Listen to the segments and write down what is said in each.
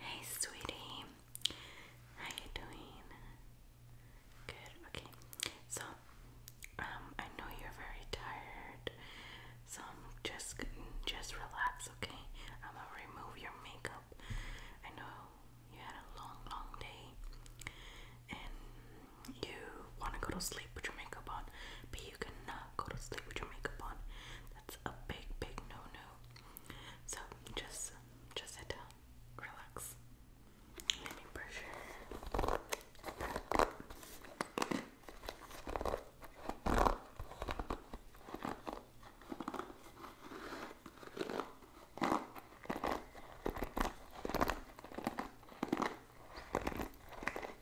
Hey, sweetie. How you doing? Good. Okay. So, um, I know you're very tired, so just just relax, okay? I'm gonna remove your makeup. I know you had a long, long day, and you want to go to sleep with your makeup on, but you cannot go to sleep with your makeup on. That's a big, big no-no. So just, just sit down, relax. Let me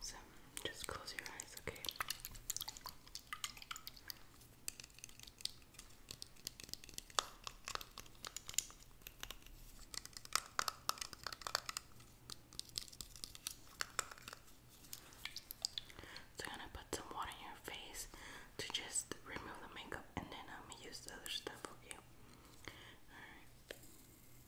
So just close your eyes, okay? So I'm gonna put some water in your face to just remove the makeup and then I'm gonna use the other stuff, okay? Alright.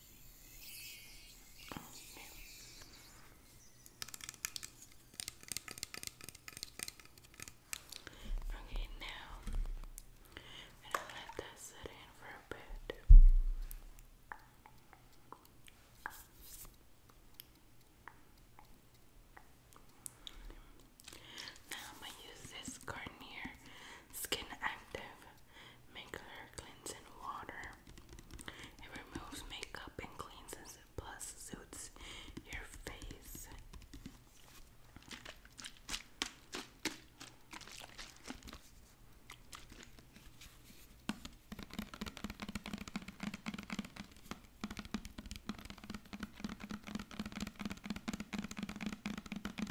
Oh, no. Okay, now I'm gonna let that sit in for a bit. Now I'm gonna use this Garnier Skin Active Makeup Cleansing Water. It removes makeup and cleanses it, plus suits your face.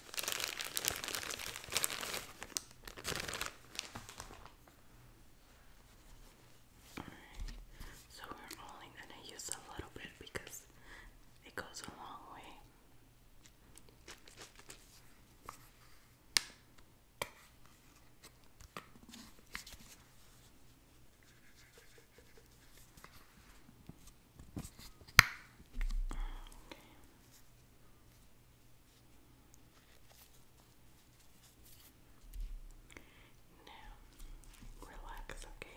All right. So we're only going to use a little bit because it goes a long way. Okay. Now, relax, okay? Okay.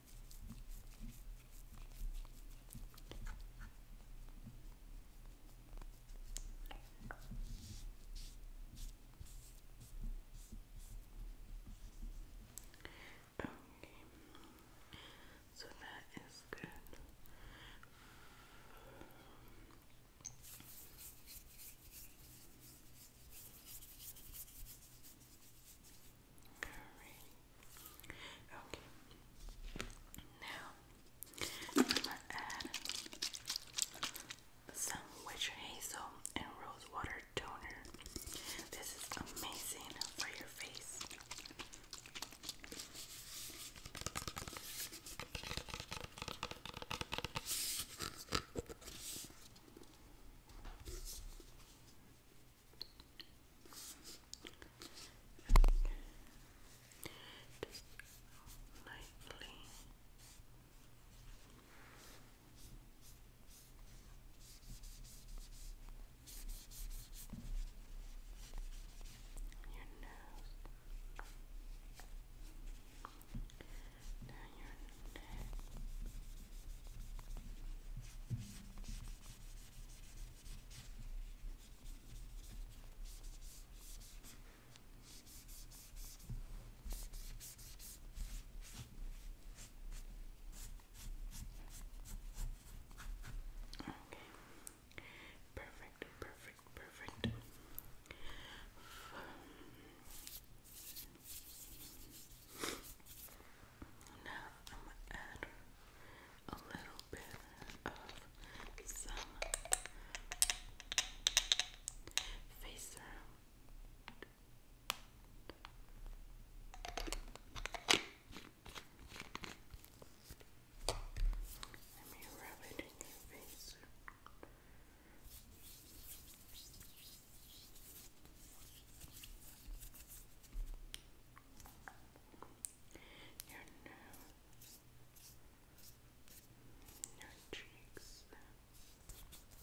Okay, so that is good. Okay. Now I'm gonna add some witch hazel and rose water toner. This is amazing for your face. Just lightly. Your nose your neck. Okay. Perfect, perfect, perfect. Now I'm going to add a little bit of some face serum. Let me rub it in your face your nose, your cheeks. Your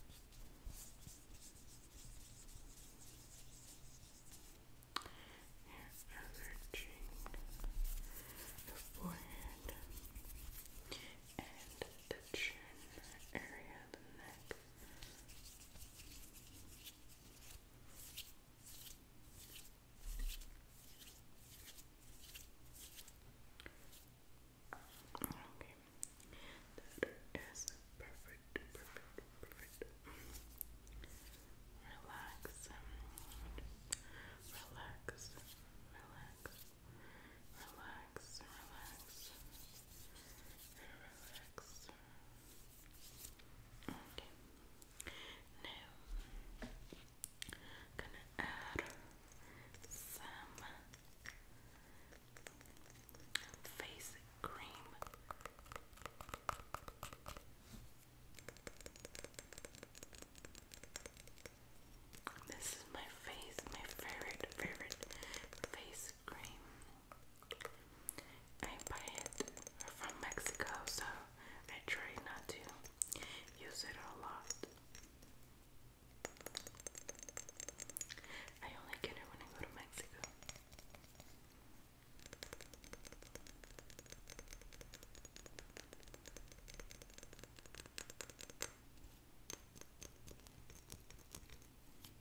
other cheek, your forehead, and the chin area, the neck. Okay, that is perfect, perfect, perfect. Relax, relax, relax, relax, relax and relax. Okay. Now I'm gonna add some face cream. This is my face, my favorite, favorite face cream. I buy it from Mexico, so I try not to use it a lot. I only get it when I go to Mexico.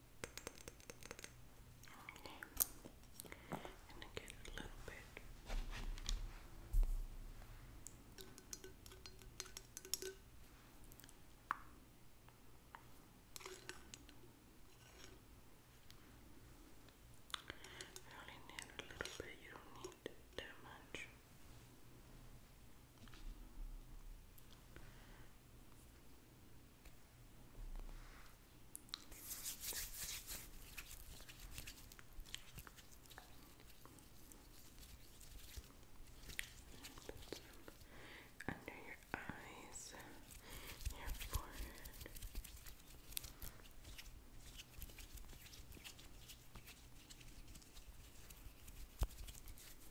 Okay. I only need a little bit, you don't need that much. Put some under your eyes, your forehead.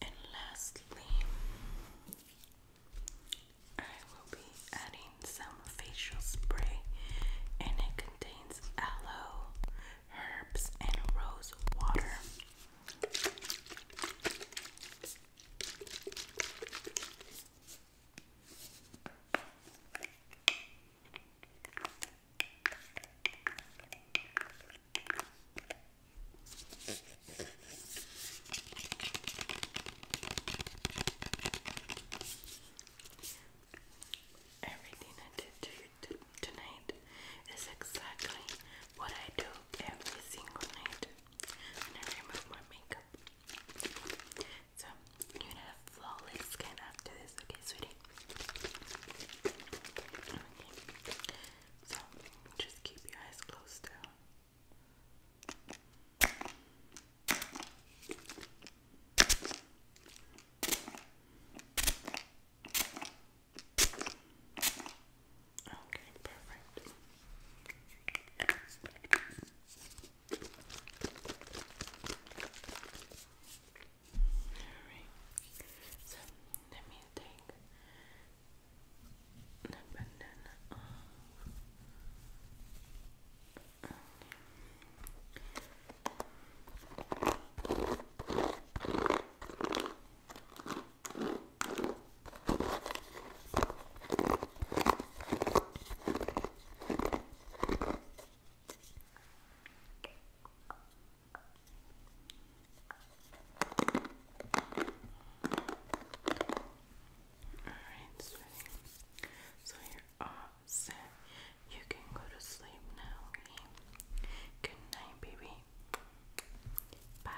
and lastly, I will be adding some facial spray, and it contains aloe, herbs, and rose water. Everything I did to you tonight is exactly what I do every single night I remove my makeup. So you're have flawless skin after this, okay, sweetie? So just keep your eyes closed Okay, perfect. Alright, so let me take the bandana um, off. Alright, sweetie. So you're all set. You can go to sleep now, Good night, baby. Bye.